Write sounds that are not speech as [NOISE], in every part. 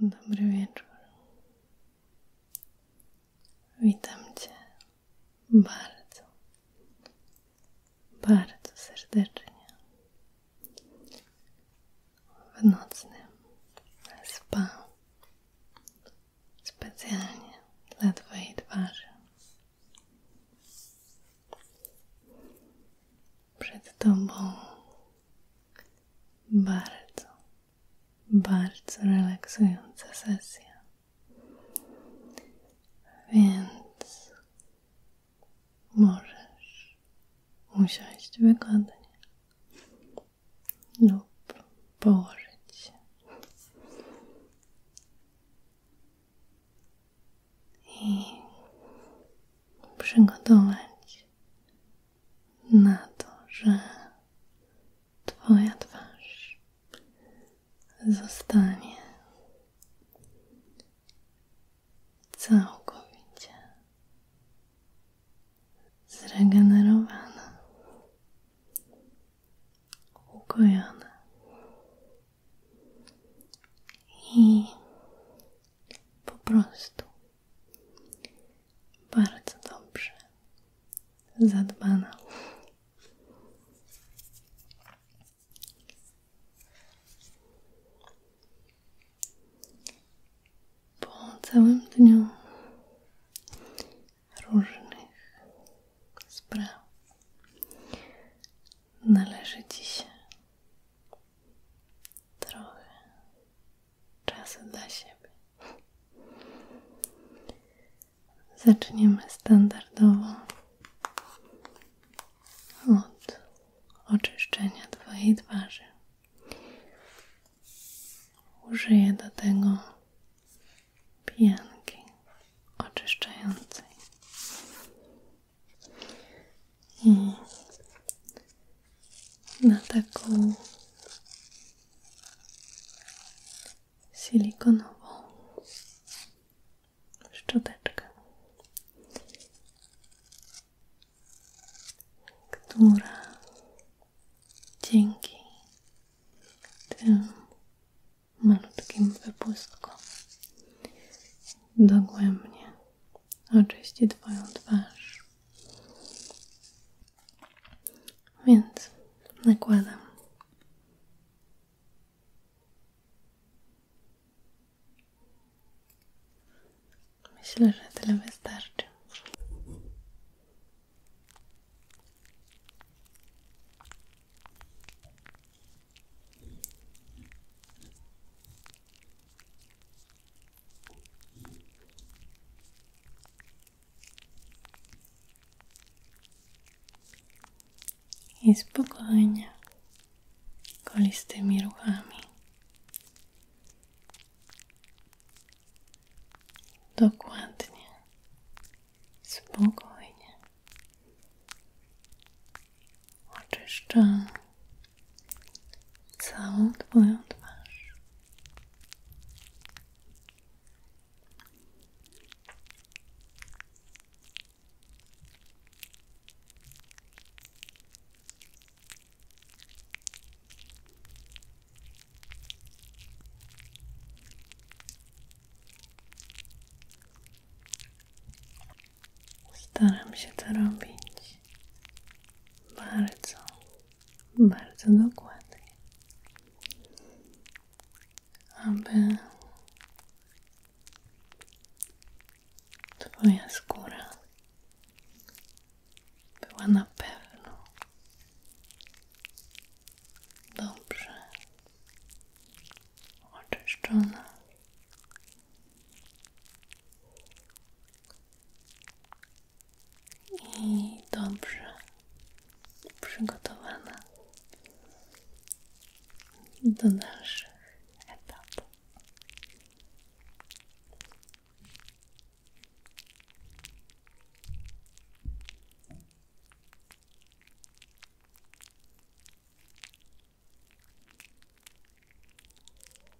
Dobry wieczór. Witam Cię bardzo, bardzo serdecznie w nocy spa specjalnie dla Twojej twarzy. Przed Tobą bardzo, bardzo relaksująca sesja. Więc możesz usiąść wygodnie lub położyć się. I przygotować na to, że Twoja twarz zostanie całkowicie zregenerowana, ukojona i po prostu bardzo dobrze. Zadbana. Po całym dniu różnych spraw należy Ci się trochę czas dla siebie. Zaczniemy standardowo od oczyszczenia Twojej twarzy. Użyję do tego pianki oczyszczającej na taką silikonową szczoteczkę, która dzięki tym malutkim wypustkom dogłębnie oczyści Twoją twarz więc nakładam. Myślę, że tyle wystarczy. I spokojnie, kolistymi ruchami. Dokładnie, spokojnie oczyszczam całą Twoją twarz. Staram się to robić bardzo, bardzo dokładnie, aby Twoja skóra była na pewno dobrze oczyszczona i dobrze przygotowana do naszych etapów.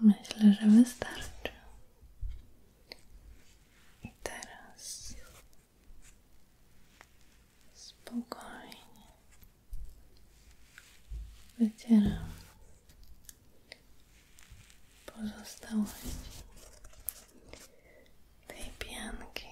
Myślę, że wystarczy. I teraz spokojnie wycieram pozostałości tej pianki.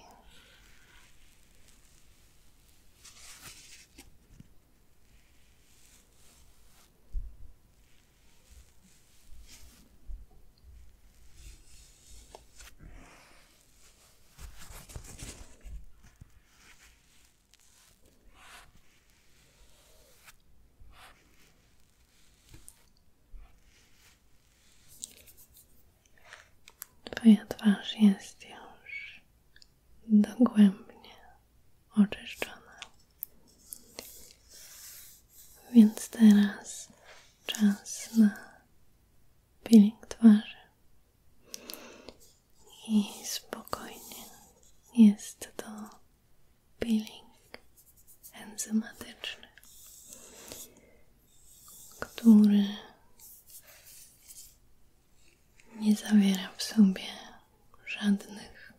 Twoja twarz jest już dogłębnie oczyszczona. Więc teraz czas na peeling twarzy. I spokojnie. Jest to peeling enzymatyczny, który nie zawiera w sobie żadnych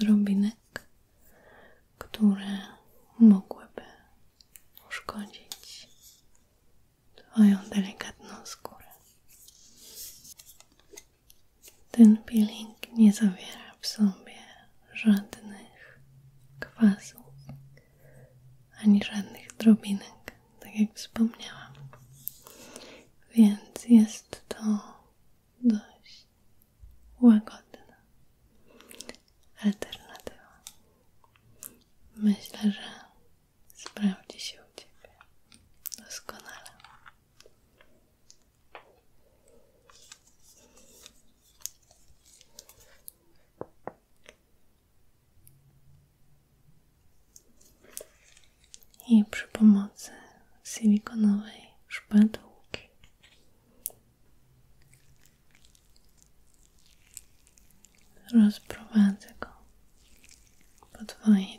drobinek, które mogłyby uszkodzić Twoją delikatną skórę. Ten peeling nie zawiera w sobie żadnych kwasów ani żadnych drobinek tak jak wspomniałam. Więc jest to dość łagodna alternatywa. Myślę, że sprawdzi się u Ciebie doskonale i przy pomocy silikonowej szpatułki rozprowadzę go po Twojej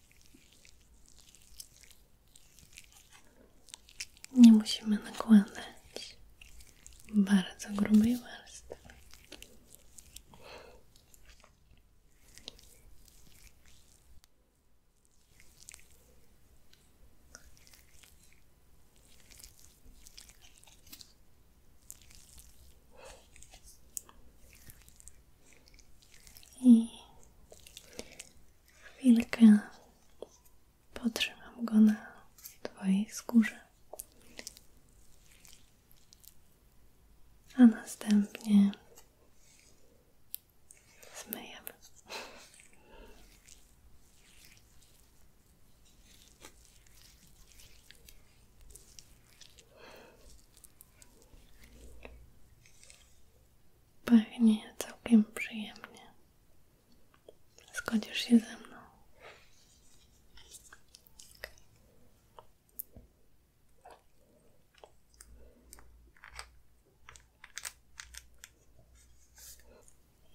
Nie musimy nakładać bardzo grubej warstwy i chwilkę potrzymam go na Twojej skórze, a następnie zmyjemy. Pachnie całkiem przyjemnie. Zgodzisz się ze mną.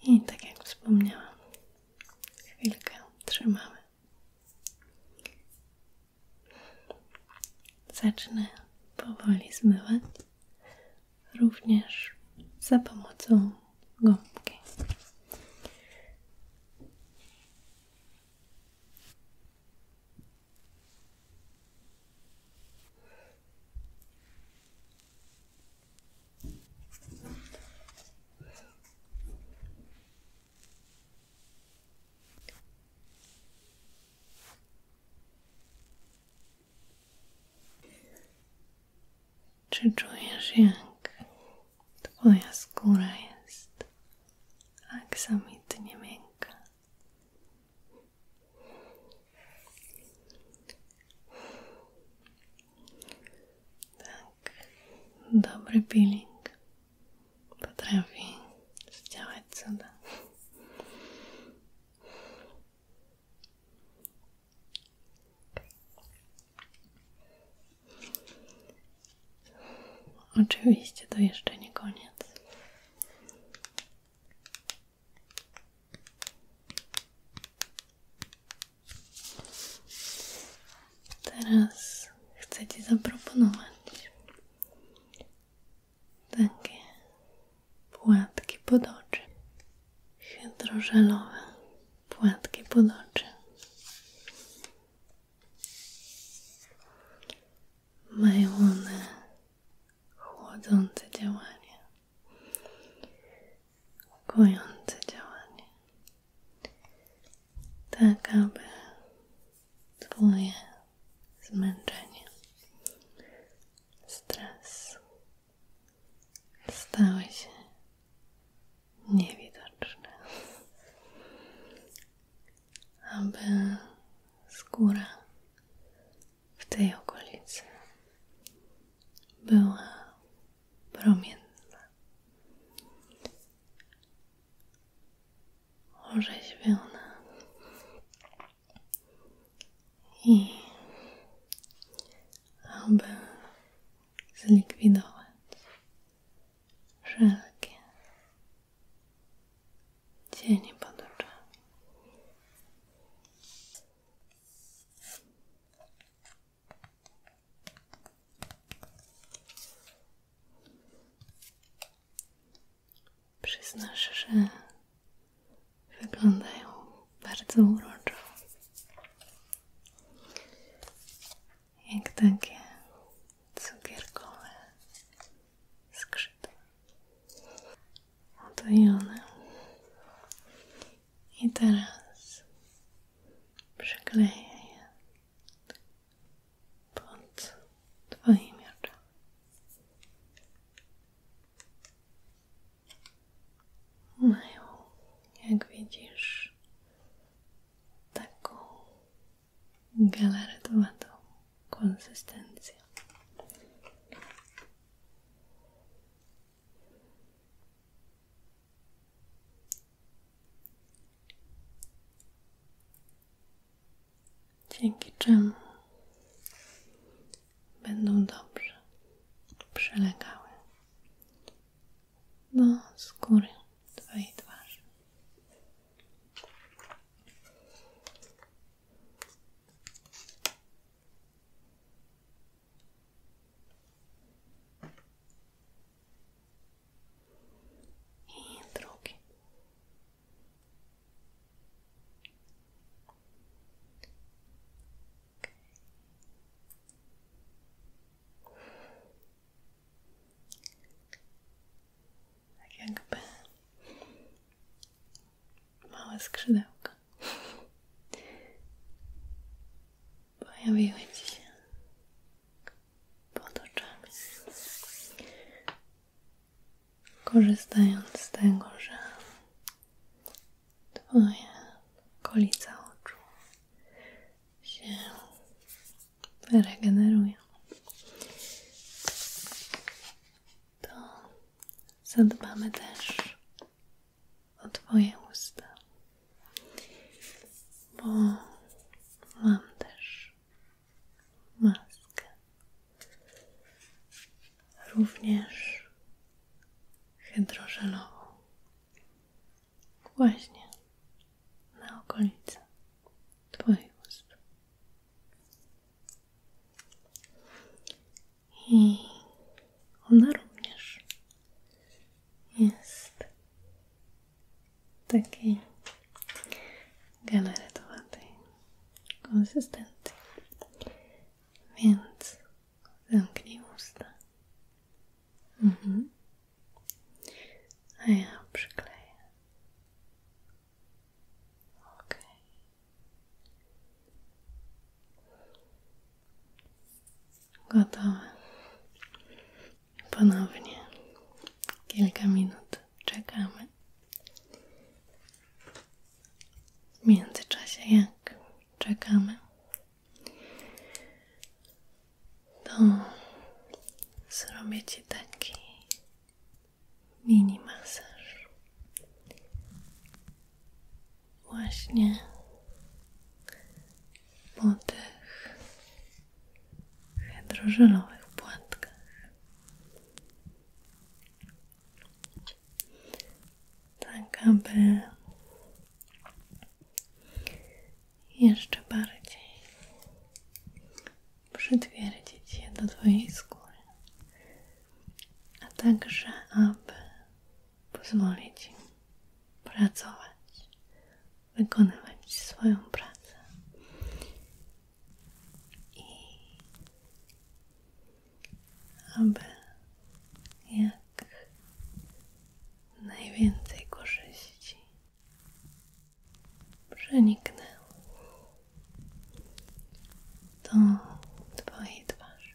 I tak jak wspomniałam, chwilkę trzymamy. Zacznę powoli zmywać, również za pomocą gąbki. Czy czujesz, jak Twoja skóra jest nie miękka? Tak, dobry peeling potrafi zdziałać cuda. Oczywiście to jeszcze nie koniec. Teraz chcę Ci zaproponować takie płatki pod oczy, hydrożelowe płatki pod oczy. Mają one chłodzące działanie, kojące działanie tak aby Twoje zmęczenie, stres stały się niewidoczne, aby skóra w tej okolicy była promienna, orzeźwiona i aby zlikwidować wszelkie cienie pod oczami. Przyznasz, wyglądają bardzo uroczo. Jak takie cukierkowe skrzypy. Oto i teraz przykleję pod Twoimi Mają, jak widzisz, taką galaretowatą konsystencję. Dzięki czemu będą dobrze przelegały. do skóry Twojej twarzy i drugi. Tak jakby małe skrzydełka pojawiły pod Korzystając z tego, że twoje okolica oczu się regenerują, to zadbamy też o Twoje usta bo mam też maskę również hydrożelową właśnie na okolice Twoich ust i ona również jest takiej galaretowatej konsystencji. Więc zamknij usta. Mhm. A ja przykleję. Ok. Gotowa. Ponownie kilka minut czekamy. W międzyczasie, jak czekamy, to zrobię Ci taki mini masaż. Właśnie po tych hydrożelowych płatkach. Tak, aby jeszcze bardziej przytwierdzić je do Twojej skóry, a także aby pozwolić pracować wykonywać swoją pracę. I aby jak najwięcej korzyści przeniknęło to Twojej twarzy.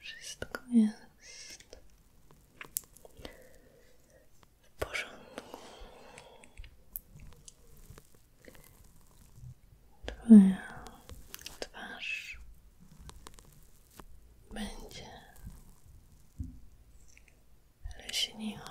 Wszystko jest w porządku. Twoja twarz będzie leśniła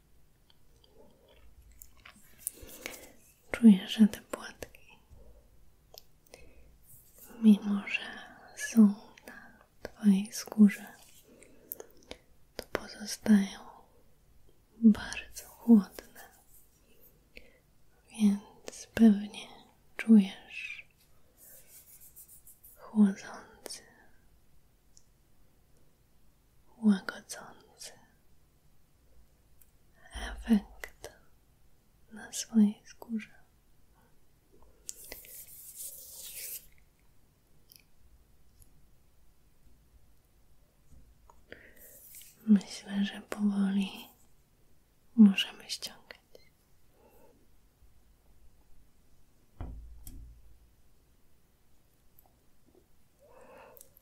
Czujesz te płatki, mimo że są na Twojej skórze, to pozostają bardzo chłodne, więc pewnie czujesz chłodzący łagodzący efekt na swojej skórze. Myślę, że powoli możemy ściągać.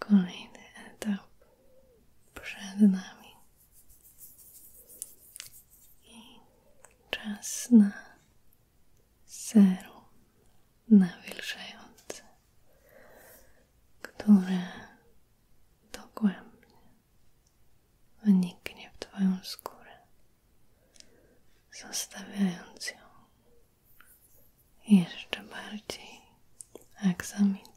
kolejny etap przed nami i czas na serum nawilżające, które dogłębnie wniknie w Twoją skórę, zostawiając ją jeszcze bardziej aksamitną.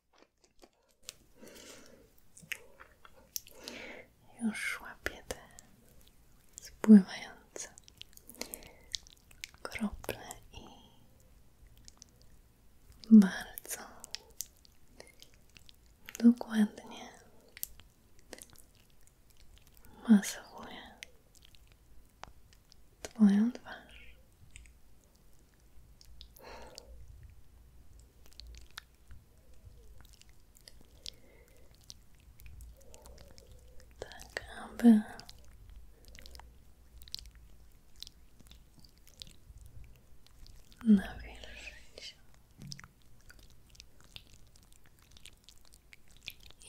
Już łapię te spływające krople i bardzo dokładnie masowuję Twoją twarz tak, aby nawilżyć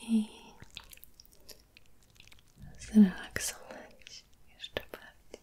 i zrelaksować jeszcze bardziej.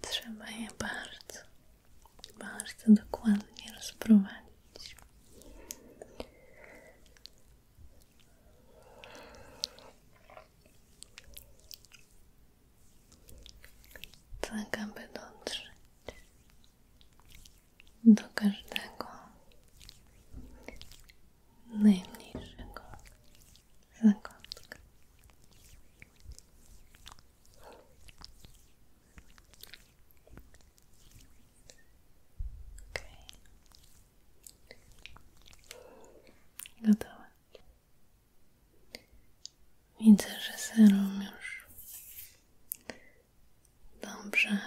Trzeba je bardzo, bardzo dokładnie rozprowadzić. Tak, aby dotrzeć do każdego najmniejszego zakątka. Okej. Okay. Widzę, że serum już dobrze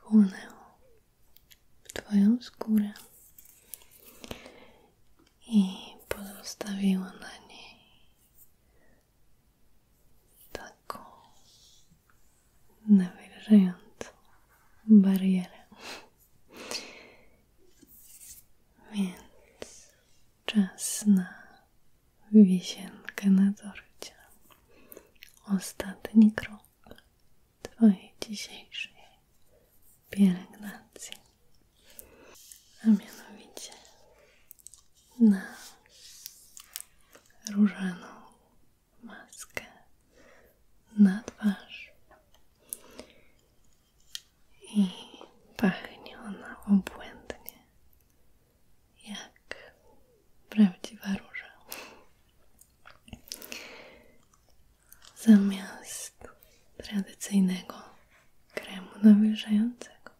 chłonęło w Twoją skórę i pozostawiła na niej taką nawilżającą barierę. Więc czas na wisienkę na torcie. Ostatni krok Twojej dzisiejszej pielęgnacji, a mianowicie na różaną maskę na twarz i pachnie ona obłędnie jak prawdziwa róża zamiast tradycyjnego kremu nawilżającego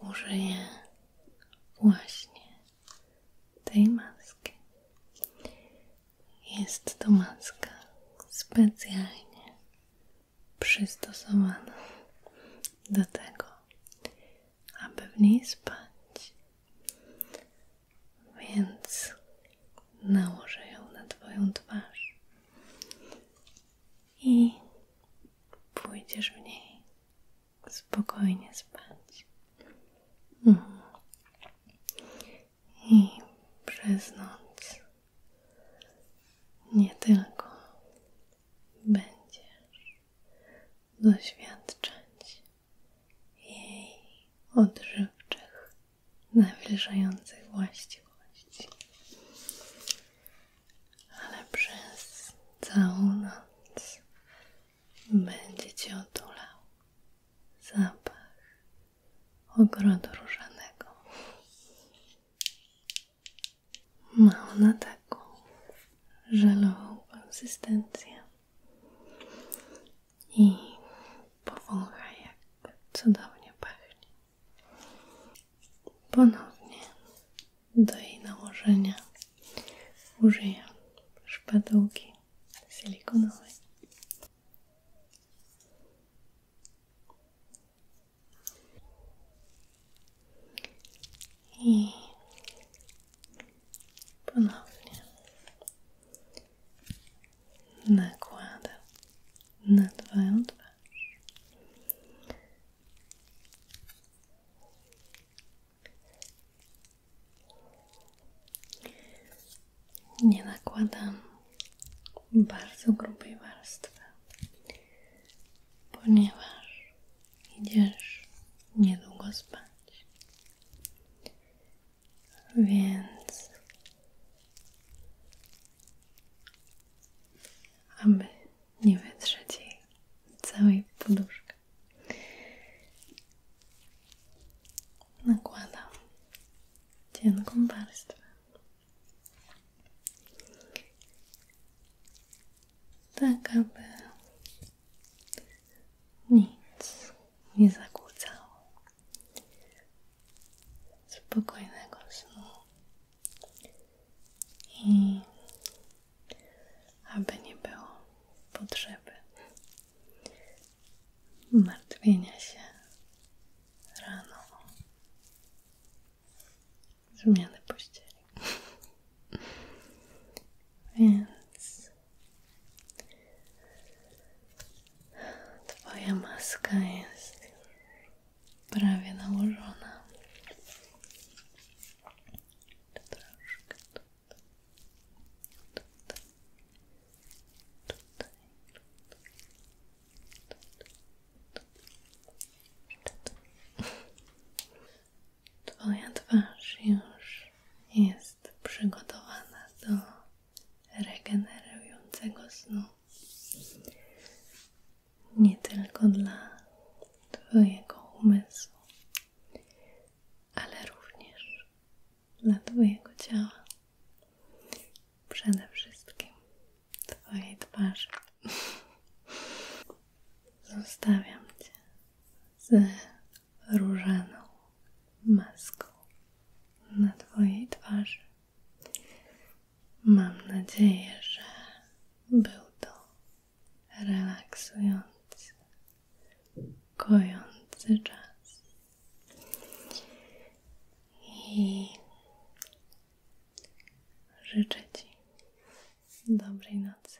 użyję właśnie tej maski. Jest to maska specjalnie przystosowana do tego, aby w niej spać więc nałożę ją na Twoją twarz i pójdziesz w niej spokojnie spać. Mhm. I przez noc nie tylko będziesz doświadczać jej odżywczych, nawilżających właściwości. Ale przez całą noc będzie Cię otulał zapach ogrodu różanego. Ma ona taką żelową konsystencję i powąchaj jak cudownie pachnie. Ponownie do jej nałożenia użyję szpadułki silikonowej. I ponownie nakładam na Twoją Nie nakładam bardzo grubej warstwy, ponieważ nie niedługo spać. Więc aby nie wytrzeć jej całej poduszki. Nakładam cienką warstwę. Tak, aby nic nie zakłócało spokojnego snu i aby nie było potrzeby martwienia się rano zmiany pościeli. [LAUGHS] Więc Twoja maska jest prawie nałożona. Troszkę Twoja twarz już jest przygotowana do regenerującego snu. Nie tylko dla Twojego umysłu, ale również dla Twojego ciała. Przede wszystkim Twojej twarzy. [LAUGHS] Zostawiam Cię z różaną maską na Twojej twarzy. Mam nadzieję, że był to relaksujący, kojący czas. I życzę Ci dobrej nocy.